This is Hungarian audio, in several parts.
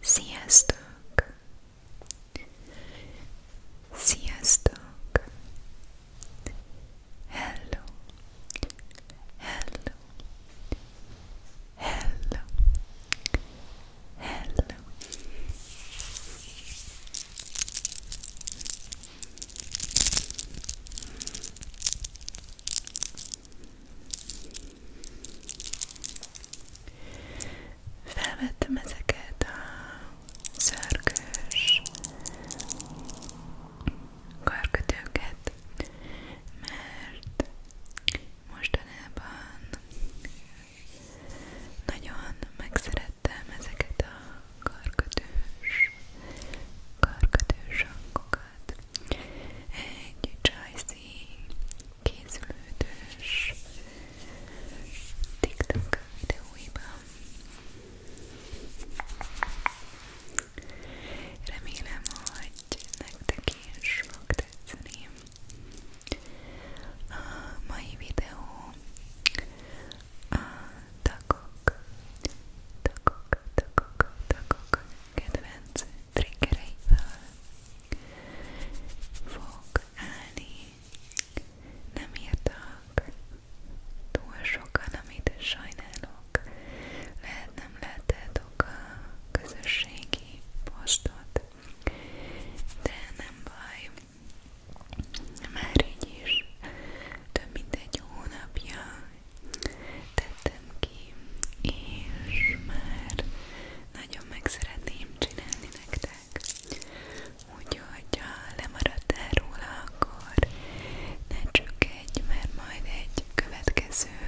Sziasztok! Sziasztok! Hello! Hello! Hello! Hello! Hello! Felvettem ezeket a szörkös karkötőket, mert mostanában nagyon megszerettem ezeket a karkötős, karkötős hangokat. Egy csajszín készülődős TikTok videóiban. Remélem, hogy nektek is fog tetszeni. A mai videó a tagok, tagok, tagok, tagok kedvenc triggereivel fog állni. Nem írtak túl sokan, amit sajnálok. Lehet nem láttátok a közösségi posztot, de nem baj. Már így is több mint egy hónapja tettem ki, és már nagyon meg szeretném csinálni nektek. Úgyhogy ha lemaradtál róla, akkor ne csökkedj, mert majd egy következő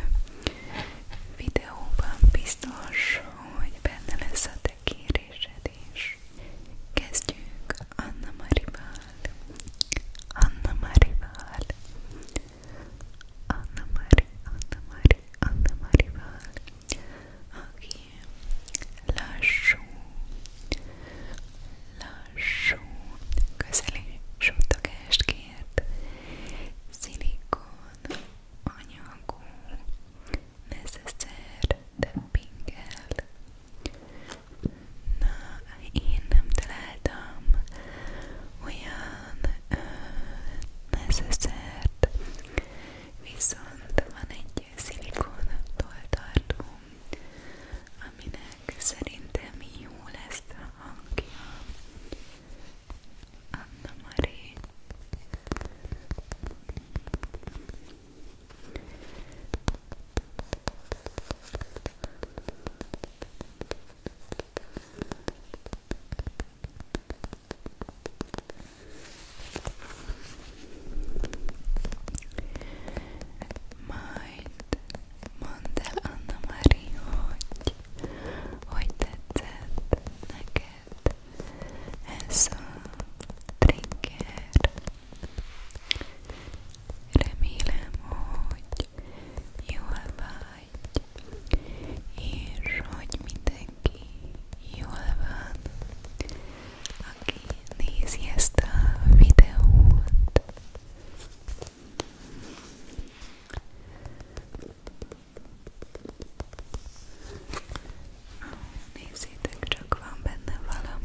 videóban biztos, hogy benne lesz a te kérésed is. Kezdjük Anna Marival. Anna Marival. Anna Mari, Anna Mari, Anna Marival aki lassú, lassú, közeli suttogást kért, szilikon, anyagú, necesszer, tappingel. Na, én nem találtam olyan necessert, viszont van egy szilikon tartó, aminek szerintem jó lesz a hangja. Anna Marie. Majd mondd el Anna Mari, hogy hogy tetszett neked ez a trigger. Remélem, hogy jól vagy, és hogy minden mindenki jól van, aki nézi ezt a videót. Nézzétek, csak van benne valami.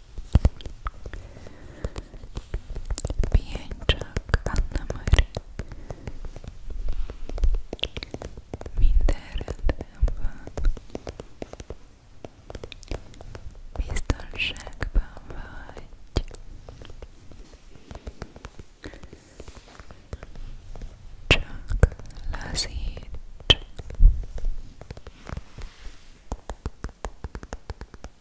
Pihenj csak, Anna Mari. Minden rendben van. Biztonságban vagy. Csak lazíts.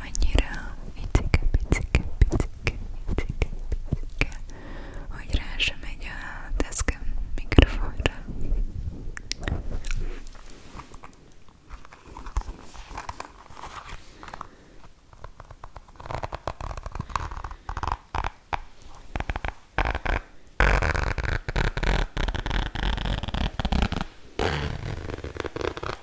annyira picike, picike, picike, picike, picike, hogy rá sem megy a deszkem mikrofonra.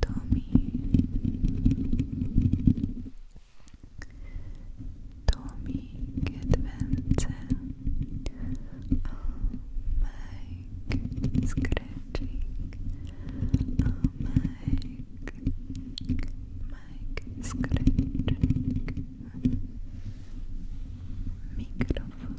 Tommy Tommy get vente Mike scratching Mike Mike scratching Microphone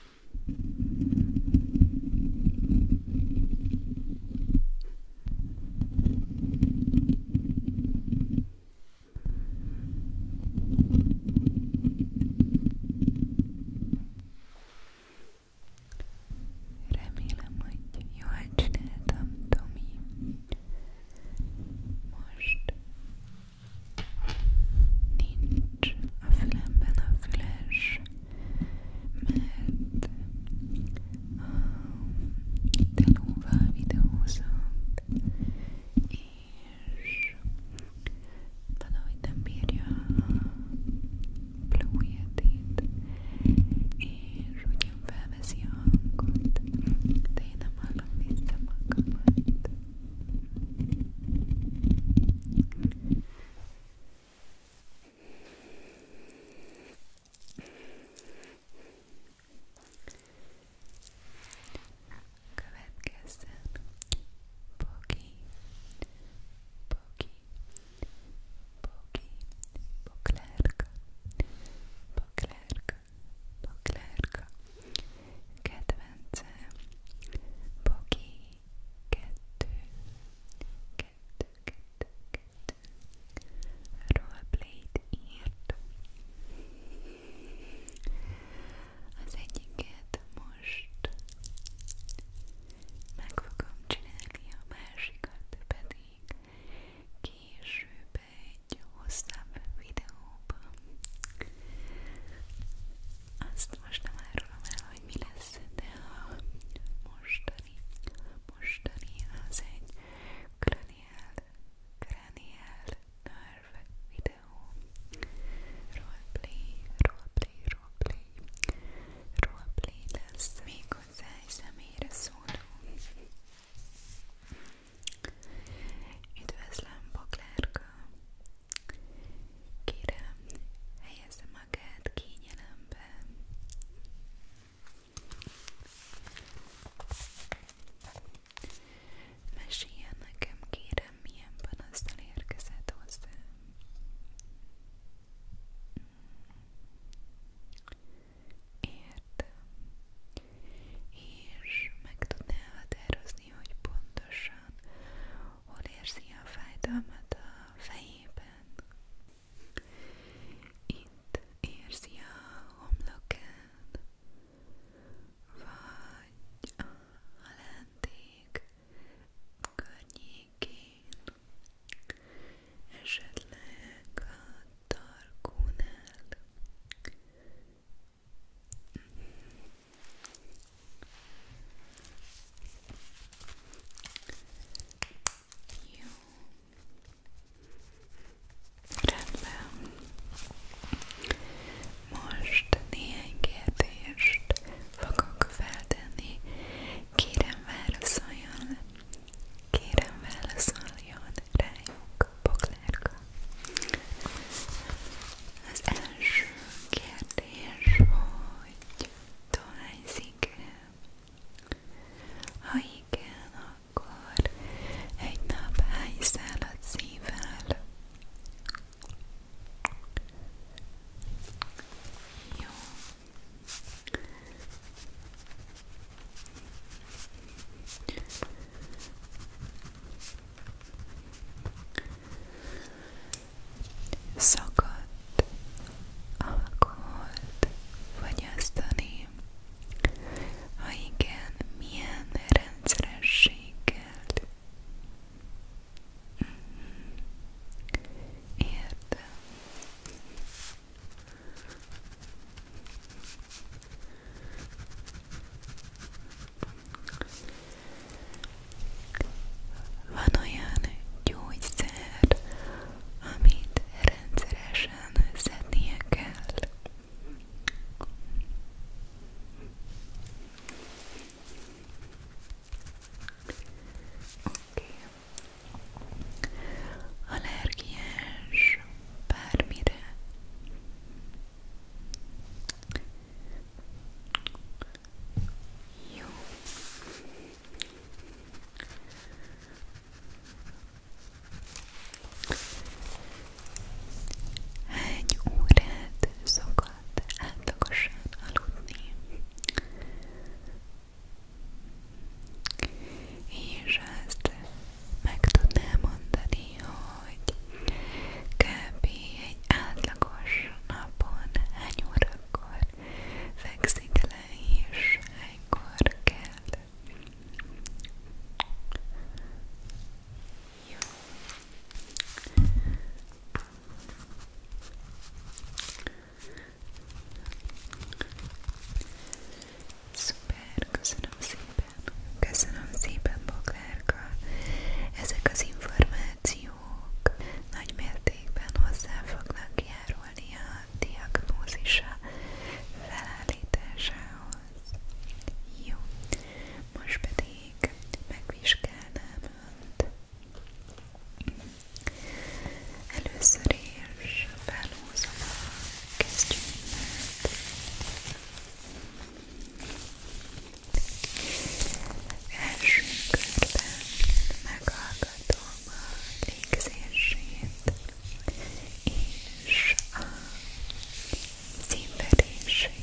Remélem, hogy jól csináltam, Tomi. Most Nincs a fülemben a füles, mert a telóval videózott, és valahogy nem bírja a Blue Yeti-t, és ugyan felveszi a hangot, de én nem hallom vissza magamat. Következzen Boki, Boki, Boki, Boklerka, Boklerka, Boklerka, kedvence Bogi kettő kettő kettő kettő roleplay-t írt az egyiket most meg fogom csinálni a másikat pedig később egy hosszabb videóban azt most nem árulom el, hogy mi lesz, de a mostani, mostani az egy kraniál, kraniál nerve videó. Roleplay, roleplay, roleplay, roleplay lesz még hozzá egy személyre szóló. Üdvözlöm, Boglárka! Kérem, helyezze magát kényelembe. Meséljen nekem, kérem, milyen panasztal érkezett hozzám. Értem. És meg tudná határozni, hogy pontosan hol érzi a fájdalmat a fejében. Itt érzi a homlokán, vagy a halánték környékén, esetleg a tarkónál, jó. Rendben. Most néhány kérdést fogok feltenni. Kérem válaszoljon. Kérem válaszoljon rájuk, Boglárka. Az első kérdés és hogy dohányzik-e. Ha igen, akkor egy nap hány szálat szívvel? Jó szakadt alkoholt fogyasztani? Ha igen, milyen rendszerességgel? Mhm. Értem. Van olyan gyógyszer, amit rendszeresen szednie kell. Okay. Allergiás bármire. Jó. Hány órát szokott átlagosan aludni? És azt meg tudnám mondani, hogy kb egy átlagos napon hány órakor fekszik le és hánykor kell. Jó. Szuper, köszönöm szépen, köszönöm szépen Boglárka. Ezek az információk kutatók nagy mértékben hozzá fognak járulni a diagnózisa felállításához. Jó, most pedig megvizsgálnám önt. Először is felhúzom a kesztyűmet. Első körben meghallgatom a légzését és a színverését.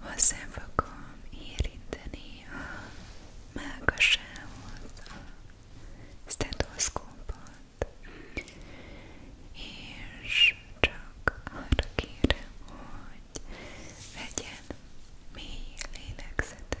Hozzá fogom érinteni a mágasához a stetoszkópot és és csak arra kérem, hogy vegyen mély lélegzetet.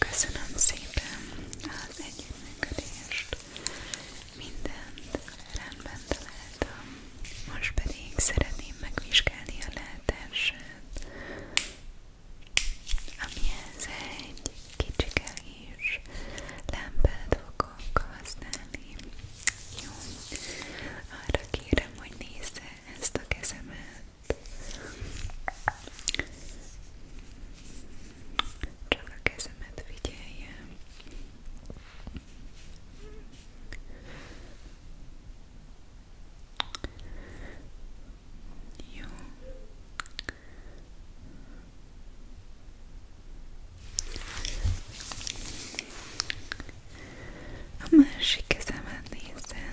Köszönöm szépen az együttműködést. Mindent rendben találtam. Most pedig szeretném megvizsgálni a látását, amihez egy kicsike is lámpát fogok használni. Jó. Arra kérem, hogy nézze ezt a kezemet. Csak a kezemet figyeljem. Jó. A másik kezemet nézzel.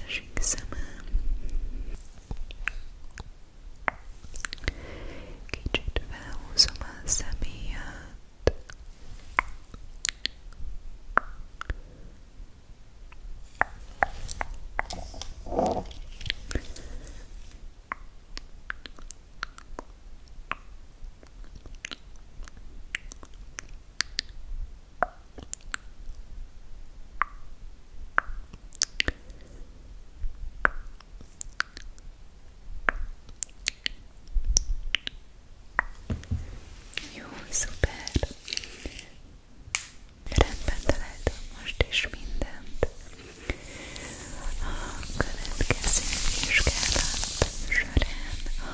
Másik szemem. Kicsit felhúzom a személyet. Jó, szuper! Rendben találtam most is mindent. A következő vizsgálat során a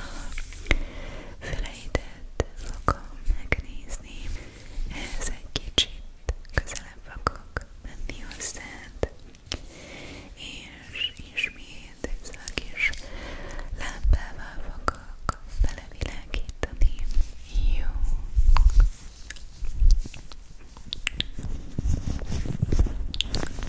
füleidet fogom megnézni. Ehhez egy kicsit közelebb fogok menni hozzád, és ismét ezzel a kis lámpával fogok belevilágítani. Jó.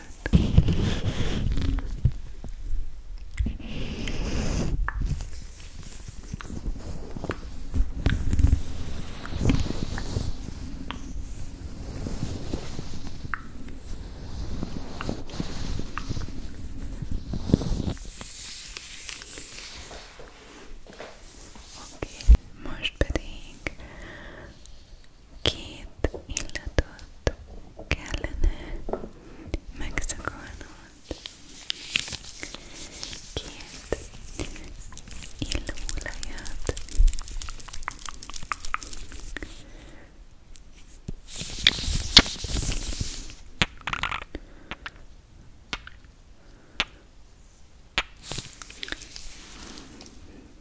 Oké, okay. most pedig két illatot kellene megszakolnod. Két illóolajat.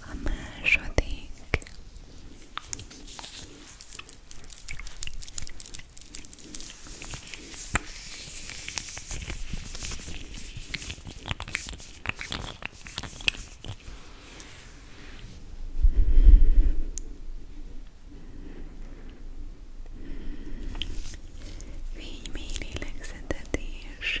a második Fénymély lélegzetetés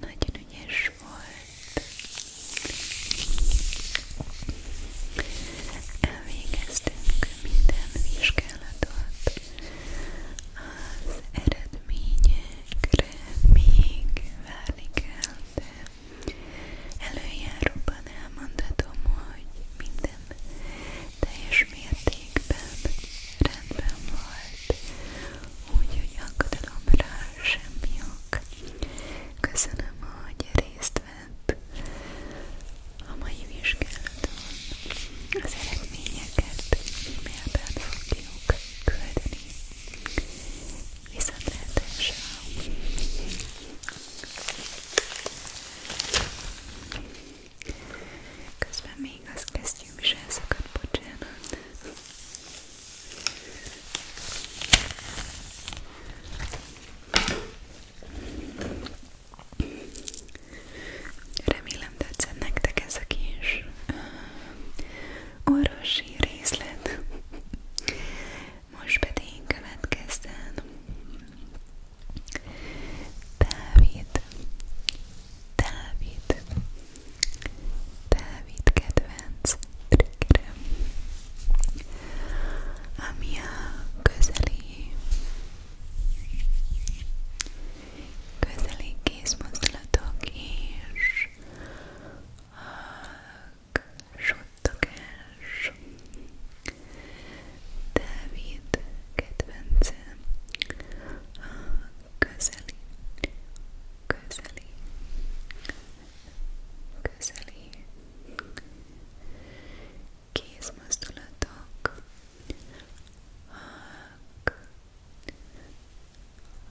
Nagyon ügyes volt. Elvégeztünk minden vizsgálatot. Az eredményekre még várni kell, de előjáróban elmondhatom, hogy minden teljes mértékben rendben volt, úgyhogy akadalomra semmi ok. Köszönöm, hogy részt vett a mai vizsgálaton. Az eredményeket e-mailben fogjuk küldeni. Viszontlátásra! Közben még az kesztyűm is elszakadt, bocsánat. Remélem tetszett nektek ez a kis uh, orvosi részlet. Most pedig következzen Dávid, Dávid, Dávid kedvenc triggerem, ami a közeli, közeli kézmozdulatok és a suttogás. Dávid kedvence a közeli, közeli, közeli kézmozdulatok hak,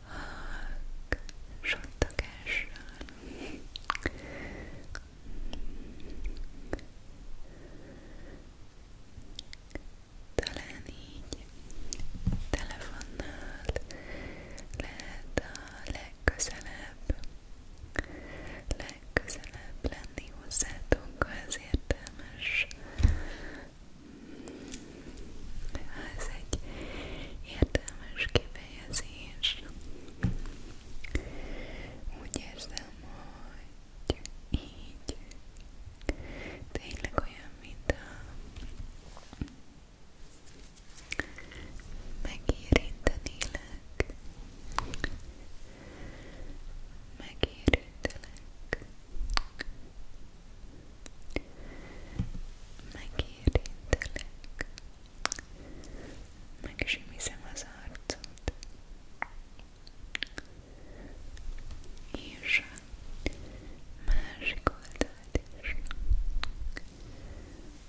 hak, sottogással talán így telefonnal lehet a legközelebb, legközelebb lenni hozzátok, ha ez értelmes. Ha ez egy értelmes kifejezés. Úgy érzem, hogy így tényleg olyan, mint a Megérintenélek, megérintelek, megérintelek, megsimizem az arcot, és másik oldalt is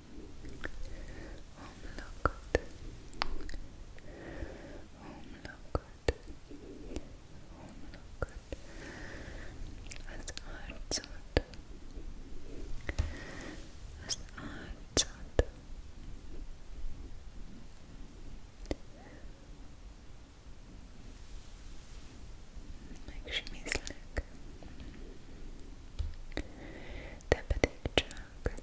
Home looked. Home looked. Home looked. As art As art Make sure te pedig csak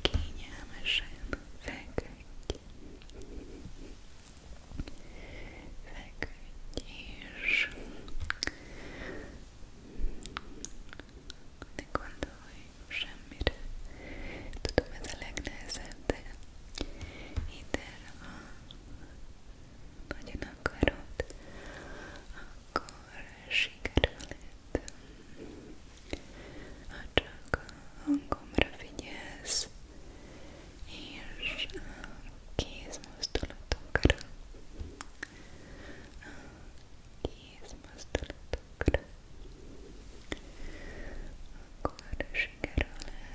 kényelmesen feküdj, feküdj és ne gondolj semmire, tudom ez a legnehezebb, de itt erre a nagyon akarod, akkor sikerül itt. Ha csak a hangomra figyelsz, és a kézmozdulatokra, a kézmozdulatokra, akkor sikerül lehet.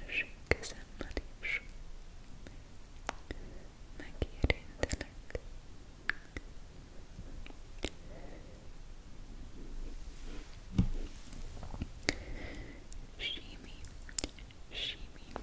másik kezemmel is megérintelek Simi, simi,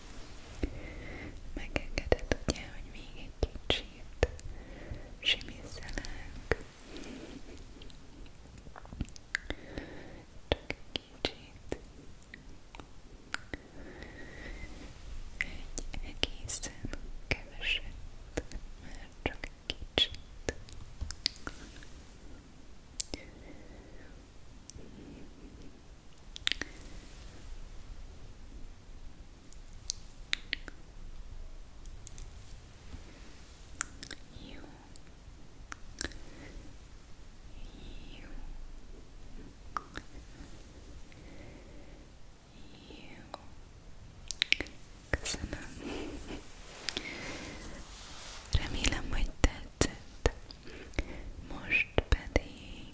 Megengedett ugye, hogy még egy kicsit simizzelek. Csak egy kicsit. Egy egészen keveset, mert csak egy kicsit. Jó. Jó. Jó. Köszönöm. Remélem, hogy tetszett. Most pedig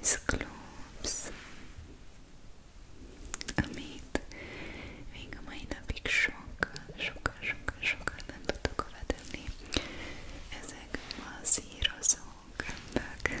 ice globes, amit még a mai napig sokkal, sokkal, sokkal, sokkal nem tudok hova tenni. Ezek a szírozó gömbök.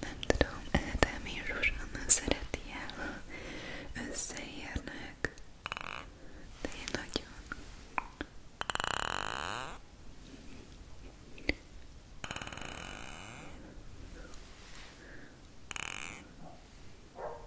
Nem tudom, Edem és Zsuzsanna szereti el, ha összeérnek, de én nagyon... Jó,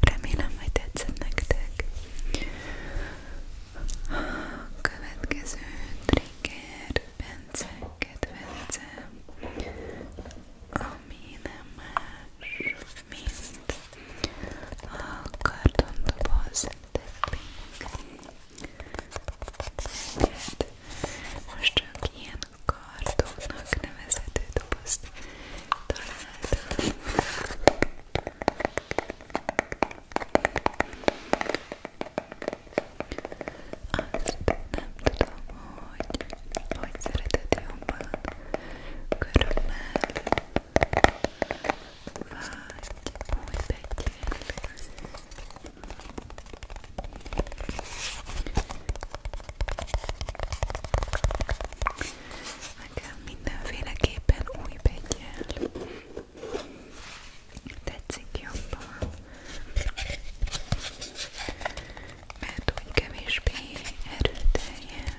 Remélem, hogy tetszett nektek. A következő trigger Bence kedvence, ami nem más, mint a kartondoboz the pink. Most csak ilyen kartonnak nevezhető dobozt találtam. Azt nem tudom, hogy hogy szereted jobban körülmel vagy új pettyel. Nekem mindenféleképpen új pettyel. Tetszik jobban. Mert úgy kevésbé erőteljes.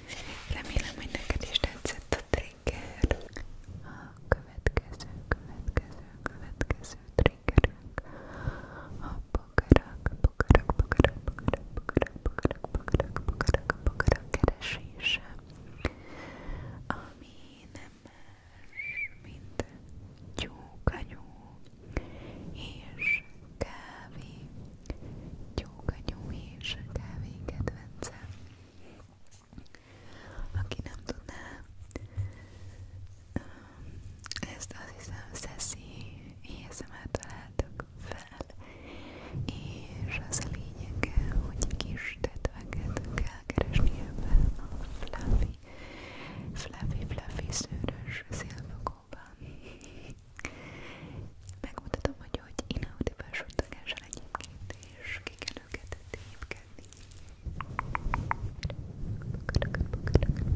Remélem, hogy neked is tetszett a trigger. A következő, következő, következő triggerünk a bogarak, bogarak, bogarak, bogarak, bogarak, bogarak, bogarak, bogarak, bogarak keresése, ami nem más, mint tyúkanyú és kávé Gyóka Nyúj és kávé kedvencem. Aki nem tudná, ezt azt hiszem Szeszi ASMR találtak fel, és az a lényege, hogy kis tetveket kell keresni ebben a fluffy, fluffy, fluffy szőrös szilvakóban. Megmutatom, hogy hogy inaudiből suttogással egyébként, és ki kell őket tépkedni. Köszönöm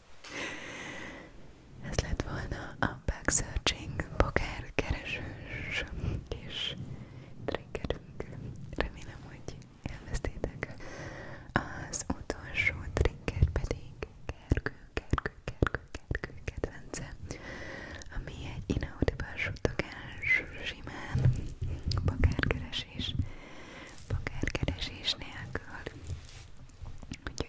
Ez lett volna a Bug Searching Poker keresős kis triggerünk. Remélem, hogy elvesztétek. Az utolsó trigger pedig Gergő, Gergő, Gergő, Gergő kedvence, ami egy inaudible suttogás simán pakárkeresés, pakárkeresés nélkül. Úgyhogy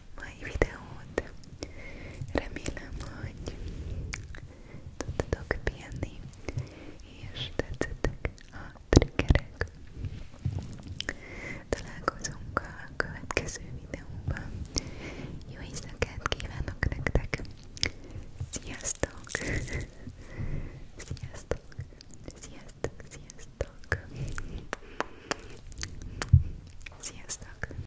mai videót. Remélem, hogy tudtatok pihenni, és tetszettek a triggerek. Találkozunk a következő videóban. Jó éjszakát kívánok nektek! Sziasztok! Sziasztok! Sziasztok! Sziasztok! Sziasztok!